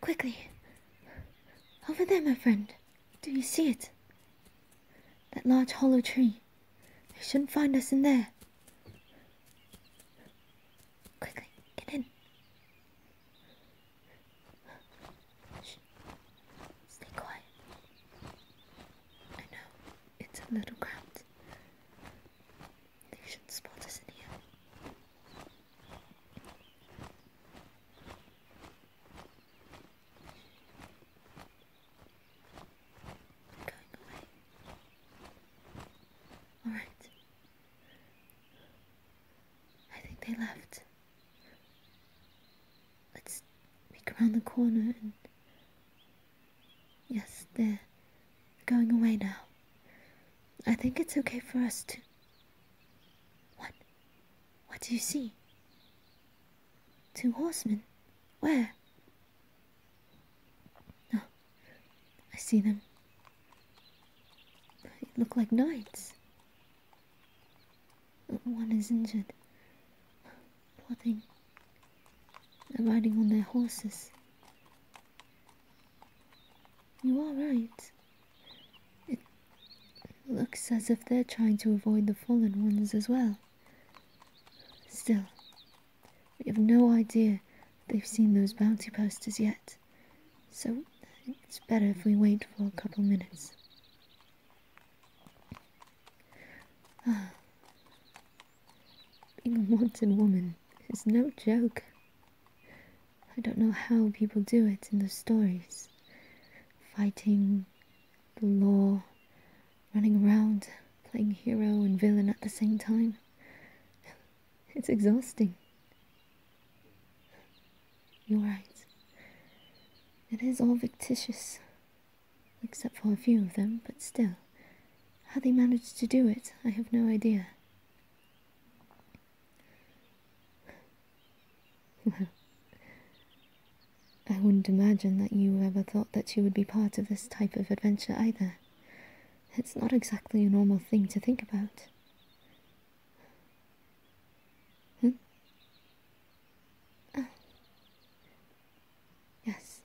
Quickly. Over there, my friend. Do you see it? That large hollow tree. They shouldn't find us in there. Quickly, get in. Stay quiet. I know, it's a little cramped. They should spot us in here. going away. Alright. I think they left. Let's make around the corner and Yes, they're going away now. I think it's okay for us to. What? What do you see? Two horsemen? Where? Oh, I see them. They look like knights. One is injured plodding and riding on their horses. You are right. It looks as if they're trying to avoid the fallen ones as well. Still, we have no idea they've seen those bounty posters yet, so it's better if we wait for a couple minutes. Ah. Being a wanted woman is no joke. I don't know how people do it in the stories. Fighting, the law, running around, playing hero and villain at the same time. It's exhausting. You're right. It is all fictitious except for a few of them, but still, how they managed to do it, I have no idea. Well, I wouldn't imagine that you ever thought that you would be part of this type of adventure either. It's not exactly a normal thing to think about. Hmm? Ah. Yes.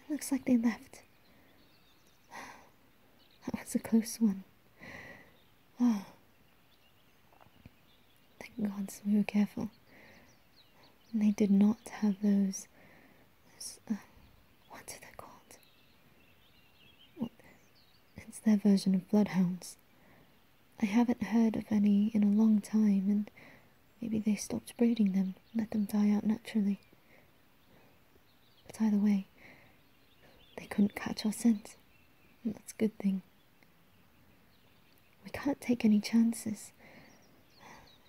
It looks like they left. That was a close one. Oh. Thank gods we were careful. they did not have those. Uh, what are they called? Well, it's their version of bloodhounds. I haven't heard of any in a long time, and Maybe they stopped breeding them let them die out naturally. But either way, they couldn't catch our scent, and that's a good thing. We can't take any chances.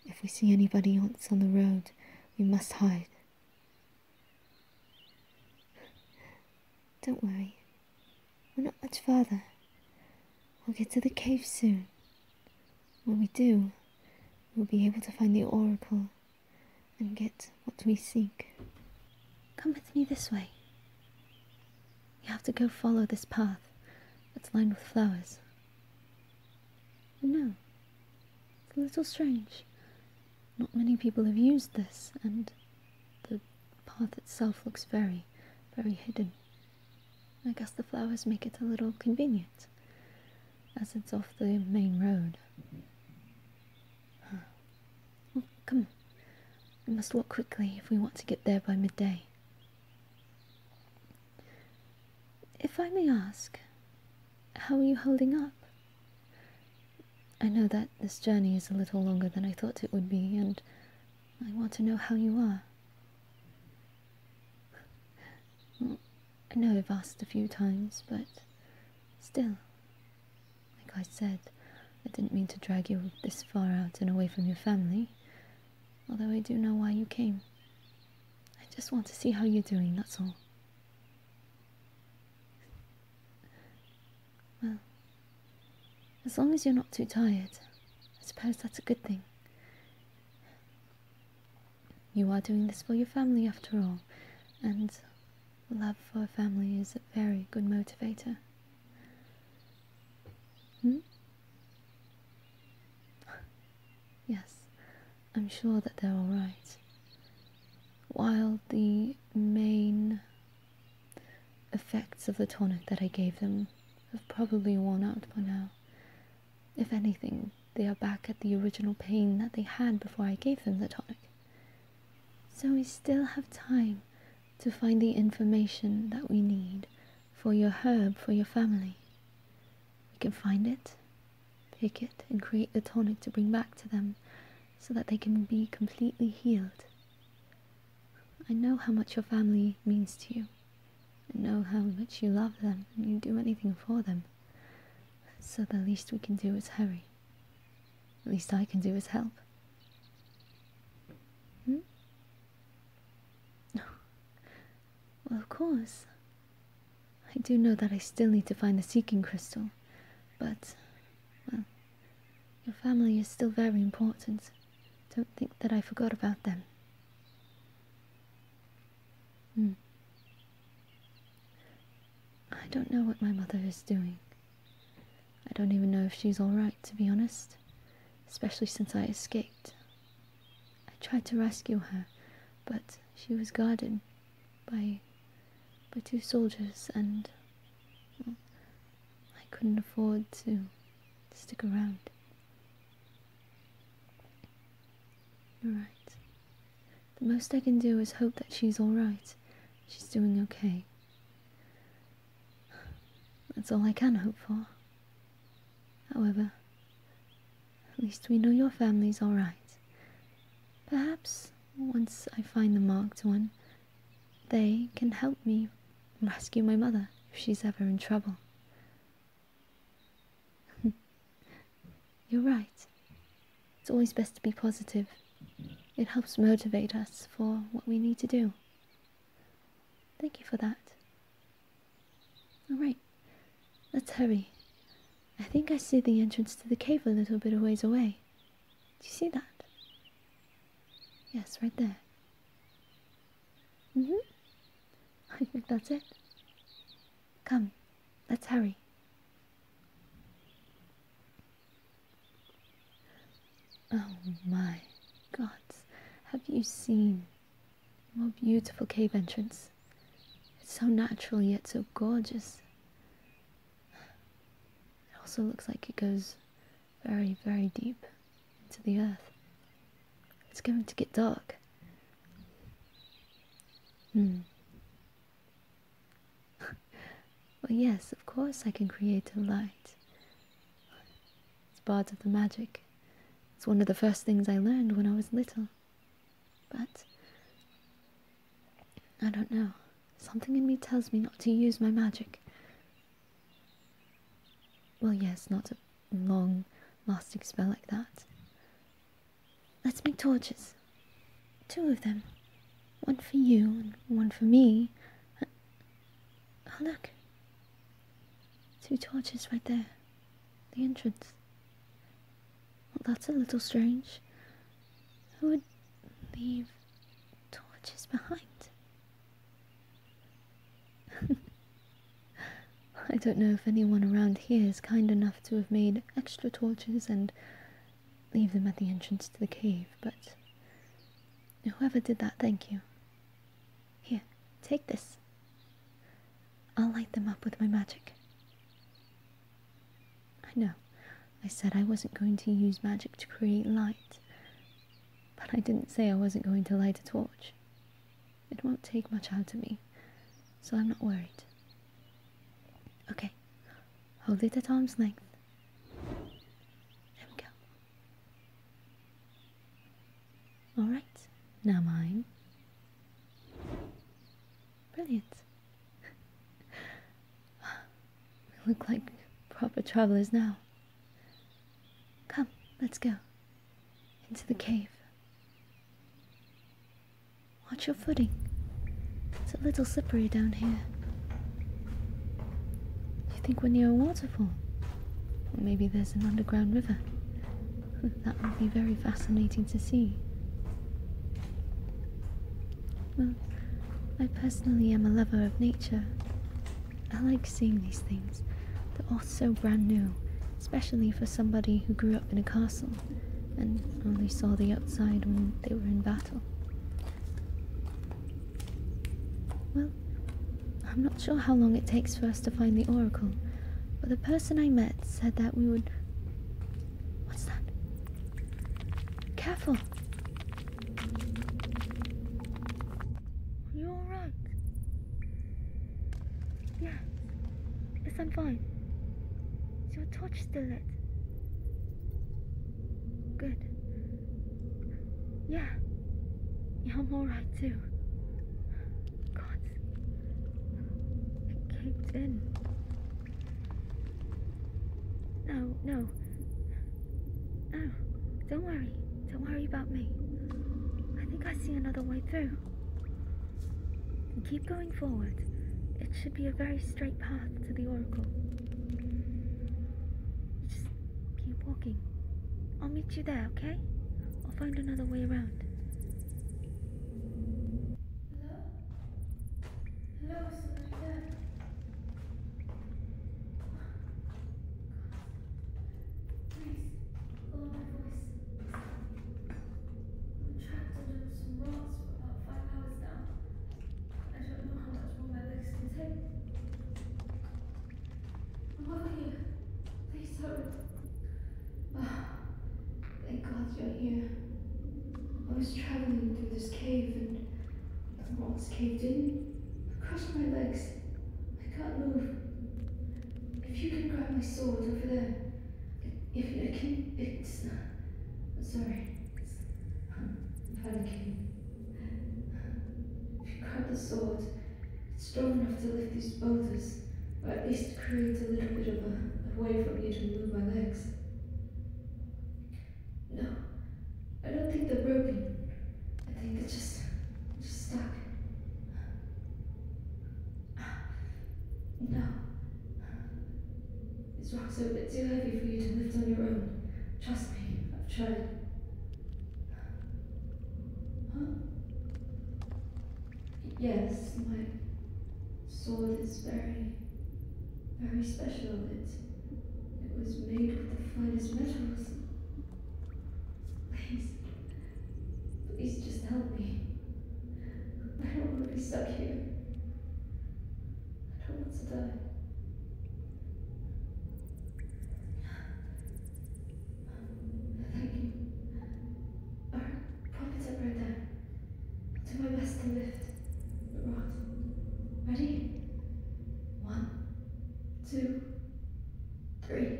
If we see anybody else on the road, we must hide. Don't worry, we're not much further. We'll get to the cave soon. When we do, we'll be able to find the oracle and get what we seek. Come with me this way. You have to go follow this path that's lined with flowers. No, it's a little strange. Not many people have used this, and the path itself looks very, very hidden. I guess the flowers make it a little convenient, as it's off the main road. come we must walk quickly if we want to get there by midday. If I may ask, how are you holding up? I know that this journey is a little longer than I thought it would be, and I want to know how you are. I know I've asked a few times, but still, like I said, I didn't mean to drag you this far out and away from your family, although I do know why you came. I just want to see how you're doing, that's all. Well, as long as you're not too tired, I suppose that's a good thing. You are doing this for your family after all, and love for a family is a very good motivator. Hmm? yes, I'm sure that they're alright. While the main effects of the tonic that I gave them have probably worn out by now, if anything, they are back at the original pain that they had before I gave them the tonic. So we still have time to find the information that we need for your herb, for your family. We can find it, pick it, and create the tonic to bring back to them so that they can be completely healed. I know how much your family means to you and know how much you love them and you'd do anything for them. So the least we can do is hurry. At least I can do is help. Hmm? well, of course. I do know that I still need to find the seeking crystal, but, well, your family is still very important. Don't think that I forgot about them. Hmm. I don't know what my mother is doing. I don't even know if she's alright, to be honest, especially since I escaped. I tried to rescue her, but she was guarded by, by two soldiers, and I couldn't afford to stick around. Alright. The most I can do is hope that she's alright. She's doing okay. That's all I can hope for. However, at least we know your family's alright. Perhaps, once I find the marked one, they can help me rescue my mother if she's ever in trouble. You're right. It's always best to be positive. It helps motivate us for what we need to do. Thank you for that. All right, let's hurry. I think I see the entrance to the cave a little bit a ways away. Do you see that? Yes, right there. Mm hmm. I think that's it. Come, let's hurry. Oh my gods, have you seen? What beautiful cave entrance. It's so natural yet so gorgeous. It also looks like it goes very, very deep into the earth. It's going to get dark. Hmm. well, yes, of course I can create a light. It's part of the magic. It's one of the first things I learned when I was little. But I don't know. Something in me tells me not to use my magic. Well, yes, not to long lasting spell like that. Let's make torches. Two of them. One for you and one for me. Oh, look. Two torches right there. The entrance. Well, that's a little strange. Who would leave torches behind? I don't know if anyone around here is kind enough to have made extra torches and leave them at the entrance to the cave, but whoever did that, thank you. Here, take this. I'll light them up with my magic. I know, I said I wasn't going to use magic to create light, but I didn't say I wasn't going to light a torch. It won't take much out of me, so I'm not worried. Okay, hold it at arm's length. There we go. Alright, now mine. Brilliant. we look like proper travelers now. Come, let's go into the cave. Watch your footing. It's a little slippery down here. You think we're near a waterfall? maybe there's an underground river. Hmm, that would be very fascinating to see. Well, I personally am a lover of nature. I like seeing these things, the so brand new, especially for somebody who grew up in a castle and only saw the outside when they were in battle. Well, I'm not sure how long it takes for us to find the oracle, but the person I met said that we would. What's that? Careful! Are alright? Yes. Yes, I'm fine. your torch still lit? Good. Yeah. Yeah, I'm alright too. God. It caved in. No, no. No. Don't worry. Don't worry about me. I think I see another way through keep going forward. It should be a very straight path to the Oracle. Just keep walking. I'll meet you there, okay? I'll find another way around. Hello? Hello, Senorita? Please, follow my voice. Trapped under some for about five hours now. I I'm I don't know how much more my legs can take. here. here. Please Thank God you're was traveling through this cave and caved in. I crossed my legs. I can't move. If you can grab my sword over there. If I can, it's. Uh, sorry. I'm panicking. If you grab the sword, it's strong enough to lift these boulders, or at least create a little bit of a, way for me to move my legs. No, I don't think they're broken. I think they're just stuck. No. this rocks a bit too heavy for you to lift on your own. Trust me, I've tried. Huh? Yes, my sword is very, very special. It, it was made with the finest metals. Please, Please just help me. I don't want to be stuck here. I don't want to die. Thank you. Our prophets are right there. I'll do my best to lift the rocks. Ready? One, two, three.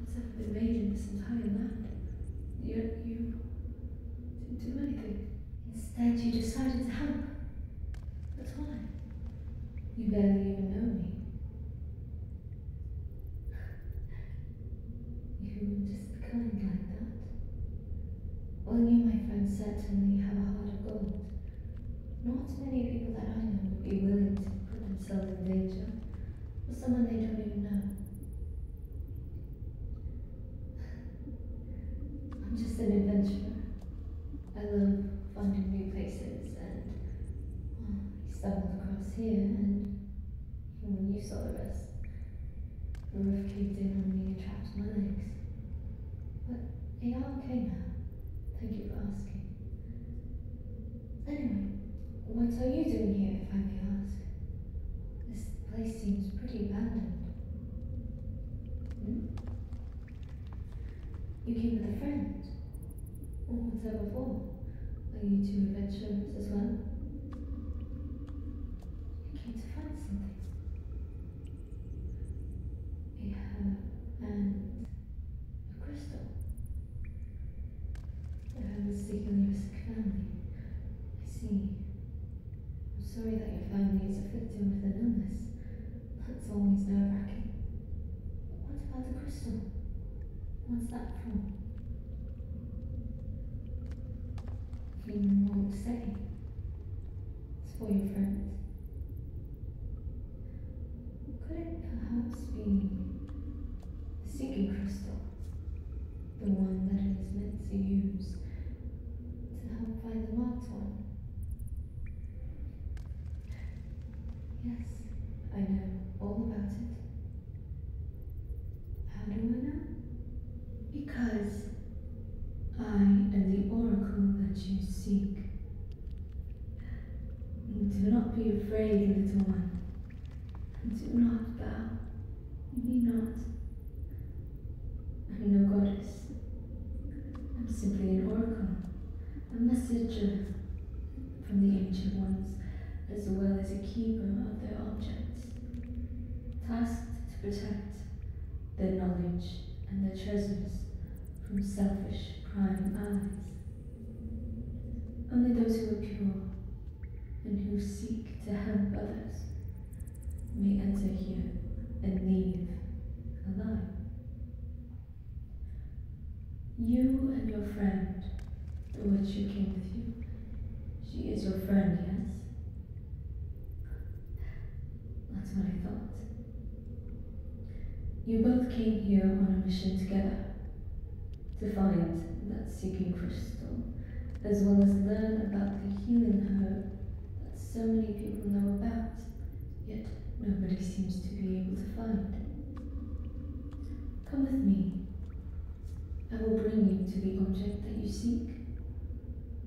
Let's have been in this entire land. You, you didn't do anything. Instead, you decided to help. That's why. You barely even know me. You were just kind like that. Well, you, my friend, certainly have a heart of gold. Not many people that I know would be willing to put themselves in danger with someone they don't even know. I'm just an adventurer. I love finding new places and stumbled across here and you saw the rest, the roof caved in on me and trapped my legs. But they are okay now. Thank you for asking. Anyway, what are you doing here, if I may ask? This place seems pretty abandoned. Hmm? You came with a friend? Or whatever before. Are you two adventurers as well? You came to find something. We have an a crystal. I have mistaken you as family. I see. I'm sorry that your family is a with an illness. That's always nerve-wracking. What about the crystal? What's that from? He won't say. It's for your friend. Could it perhaps be the seeking crystal? The one that it is meant to use to help find the marked one? Yes, I know all about it. How do I know? Because I am the oracle that you seek. Do not be afraid, little one. Do not bow. Need not. I'm no goddess. I'm simply an oracle, a messenger from the ancient ones, as well as a keeper of their objects, tasked to protect their knowledge and their treasures from selfish prying eyes. Only those who are pure and who seek to help others may enter here and leave alive. You and your friend, the witch who came with you, she is your friend, yes? That's what I thought. You both came here on a mission together, to find that seeking crystal, as well as learn about the healing herb that so many people know about, yet nobody seems to be able to find. Come with me. I will bring you to the object that you seek,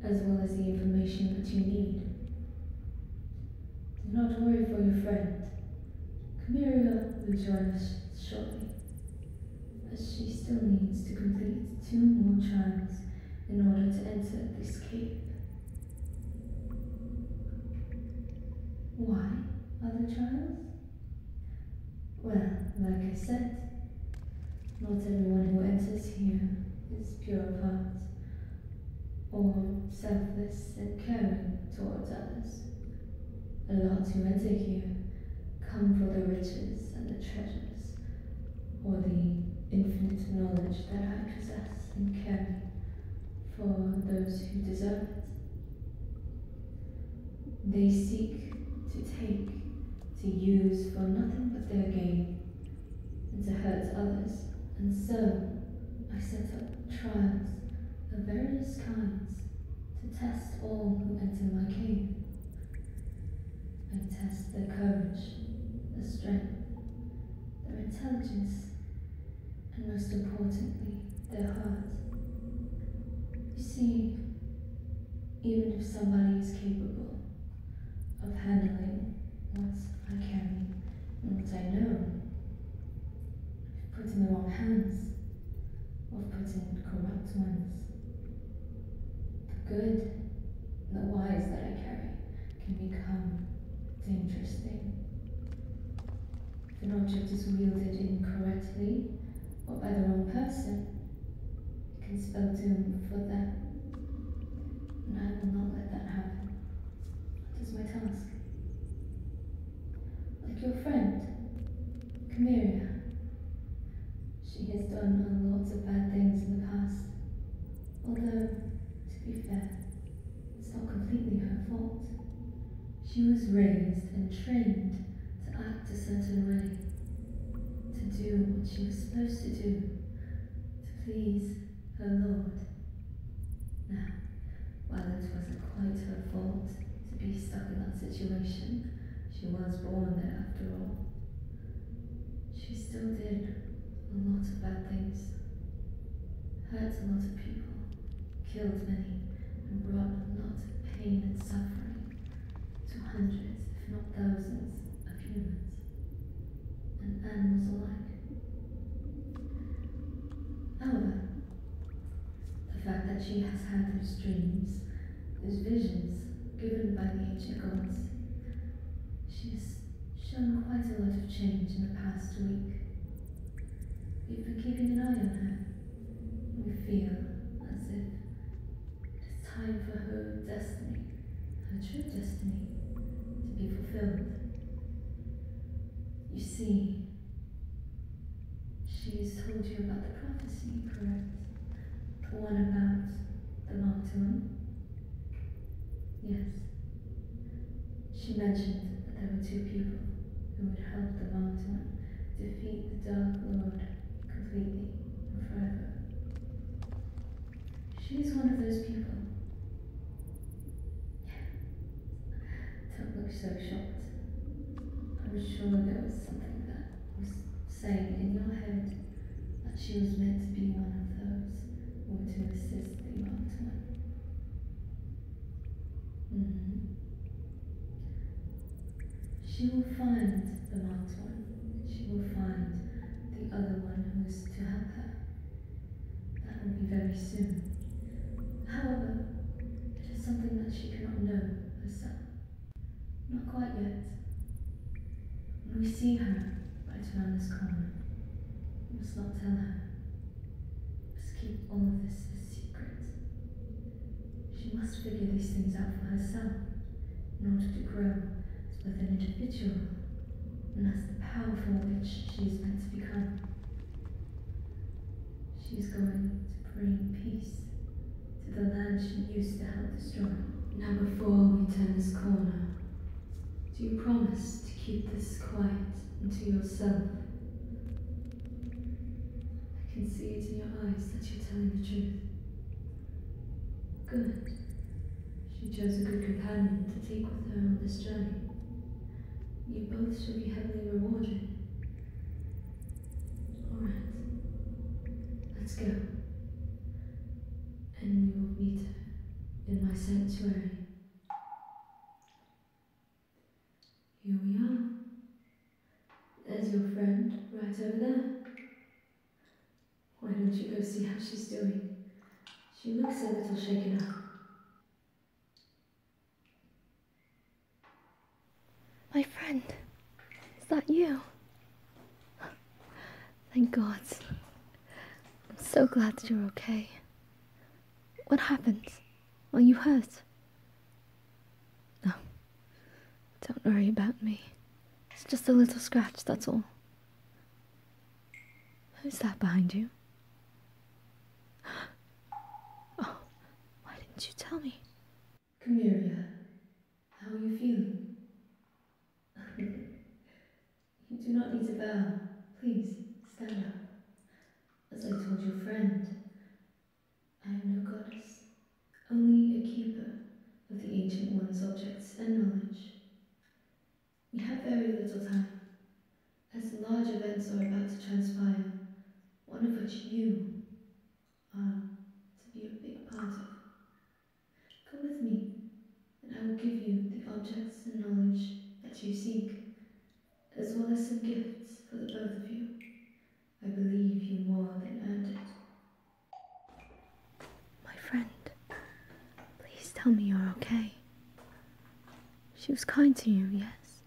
as well as the information that you need. Do not worry for your friend. Camilla will join us shortly, but she still needs to complete two more trials in order to enter this cave. Why other trials? Well, like I said, not everyone who enters here is pure of heart or selfless and caring towards others others. The lot who enter here come for the riches and the treasures, or the infinite knowledge that I possess and carry for those who deserve it. They seek to take, to use for nothing but their gain, and to hurt others, and so I set up trials of various kinds to test all who enter my cave. I test their courage, their strength, their intelligence, and most importantly, their heart. You see, even if somebody is capable of handling what I carry and what I know, put in the wrong hands, or put in corrupt ones. The good, the wise that I carry, can become dangerous thing. If an object is wielded incorrectly, or by the wrong person, it can spell doom for them. And I will not let that happen. That is my task. Like your friend, Cameria. She has done lots of bad things in the past. Although, to be fair, it's not completely her fault. She was raised and trained to act a certain way, to do what she was supposed to do, to please her lord. Now, while it wasn't quite her fault to be stuck in that situation, she was born there after all. She still did a lot of bad things, hurt a lot of people, killed many, and brought a lot of pain and suffering to hundreds, if not thousands, of humans and animals alike. However, the fact that she has had those dreams, those visions given by the ancient gods, she has shown quite a lot of change in the past week. We've been keeping an eye on her. We feel as if it is time for her destiny, her true destiny, to be fulfilled. You see, She's told you about the prophecy, correct? The one about the Marked Yes. She mentioned that there were two people who would help the Marked defeat the Dark Lord completely and forever. She's one of those people. Don't look so shocked. I'm sure there was something that was saying in your head that she was meant to be one of those or to assist the marked -hmm. She will find the marked one. She will find the other one who is to help her. That will be very soon. However, it is something that she cannot know herself. Not quite yet. we see her right around this corner, we must not tell her. We must keep all of this a secret. She must figure these things out for herself in order to grow as both an individual and as the powerful witch she is meant to become. She's going to bring peace to the land she used to help destroy. Now before we turn this corner, do you promise to keep this quiet until yourself? I can see it in your eyes that you're telling the truth. Good. She chose a good companion to take with her on this journey. You both shall be heavily rewarded Alright, let's go. And we will meet in my sanctuary. Here we are. There's your friend right over there. Why don't you go see how she's doing? She looks a little shaken up. My friend, is that you? Thank God. I'm so glad that you're okay. What happened? Are you hurt? No. Don't worry about me. It's just a little scratch, that's all. Who's that behind you? Oh, why didn't you tell me? Come How are you feeling? you do not need to bow. Please, stand up. As I told your friend, I am no goddess, only a keeper of the Ancient One's objects and knowledge. We have very little time, as large events are about to transpire, one of which you are to be a big part of. Come with me, and I will give you the objects and knowledge that you seek, as well as some gifts for the both of you. I believe you more than earned it. My friend, please tell me you're okay. She was kind to you, yes?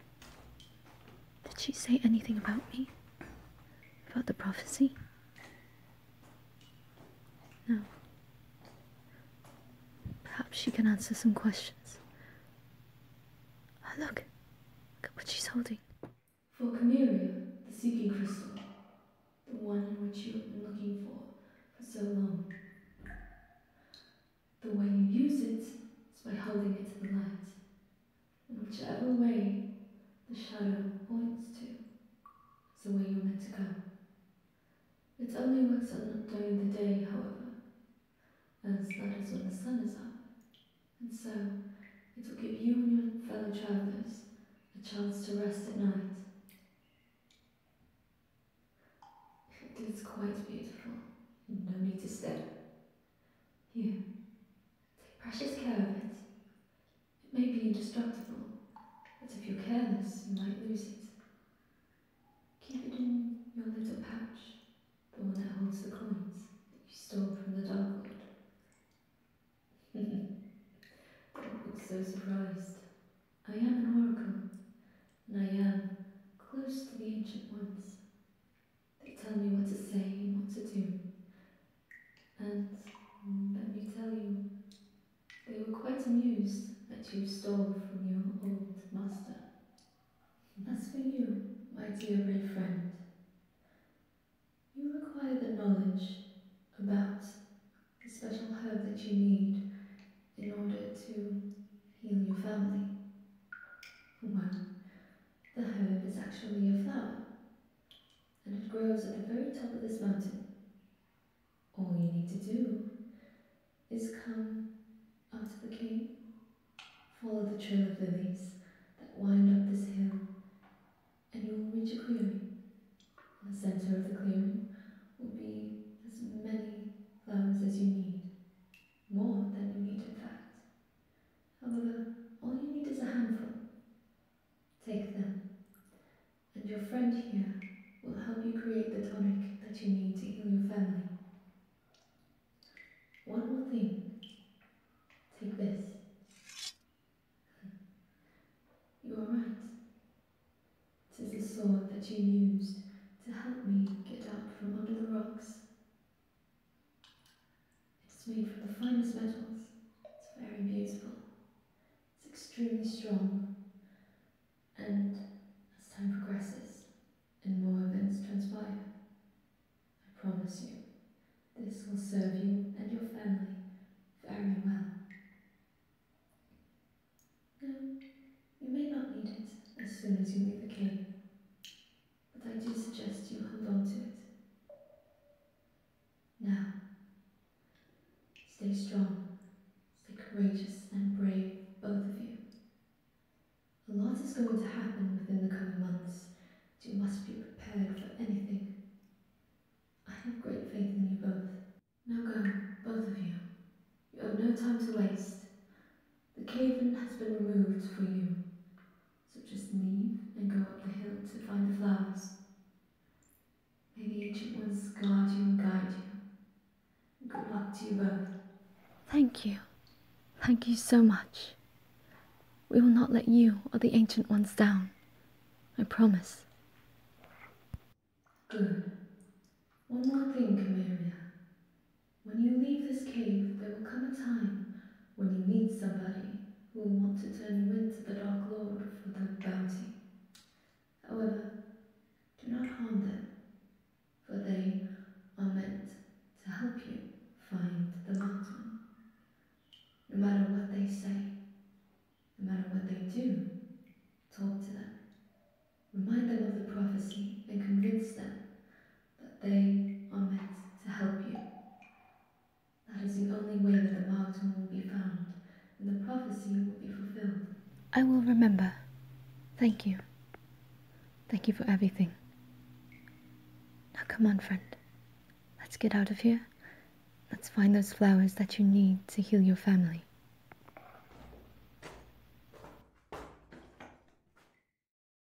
Did she say anything about me? About the prophecy? No. Perhaps she can answer some questions. Oh, look! at what she's holding. For Camilla, the seeking crystal, the one in which you have been looking for for so long. The way you use it is by holding it to the light, in whichever way the shadow points to, it's the way you're meant to go. It only works on during the day, however, as that is when the sun is up, and so it will give you and your fellow travellers a chance to rest at night. It is quite beautiful, no need to stare. You take precious care of it. It may be indestructible, but if you're careless, you might lose it. Keep it in your little pouch, the one that holds the coins that you stole from the Dark Lord. Don't look so surprised. I am an oracle, and I am close to the ancient ones. They tell me what to say and what to do. And let me tell you, they were quite amused that you stole from your old master. As for you, my dear red friend, you require the knowledge about the special herb that you need in order to heal your family. Well, the herb is actually a flower, and it grows at the very top of this mountain. All you need to do is come up to the cave, follow the trail of lilies that wind up this hill, and you will reach a clearing. In the center of the clearing will be as many flowers as you need, more than you need in fact. However, all you need is a handful. Take them, and your friend here will help you create the tonic that you need to heal your family. One more thing. Take this. You are right. It is the sword that you used to help me get up from under the rocks. It's made from the finest metals. It's very beautiful. It's extremely strong. And as time progresses and more events transpire, I promise you, this will serve you and your family very well. No, you may not need it as soon as you leave the cave but I do suggest you hold on to it. Now, stay strong, stay courageous and brave, both of you. A lot is going to happen within the coming months, you must be prepared for anything. I have great faith in you both. Now go, both of you. You have no time to waste. The cave has been moved for you. So just leave and go up the hill to find the flowers. May the ancient ones guard you and guide you. Good luck to you both. Thank you. Thank you so much. We will not let you or the ancient ones down. I promise. Good. One more thing, Camellia. When you leave this cave, there will come a time when you meet somebody who will want to turn you into the Dark Lord for their bounty. However, do not harm them, for they are meant to help you find the mountain. No matter what they say, no matter what they do, talk to them. Remind them of the prophecy and convince them that they are meant to help you. That is the only way that the marked will be found, and the prophecy will be fulfilled. I will remember. Thank you. Thank you for everything. Now come on, friend. Let's get out of here. Let's find those flowers that you need to heal your family.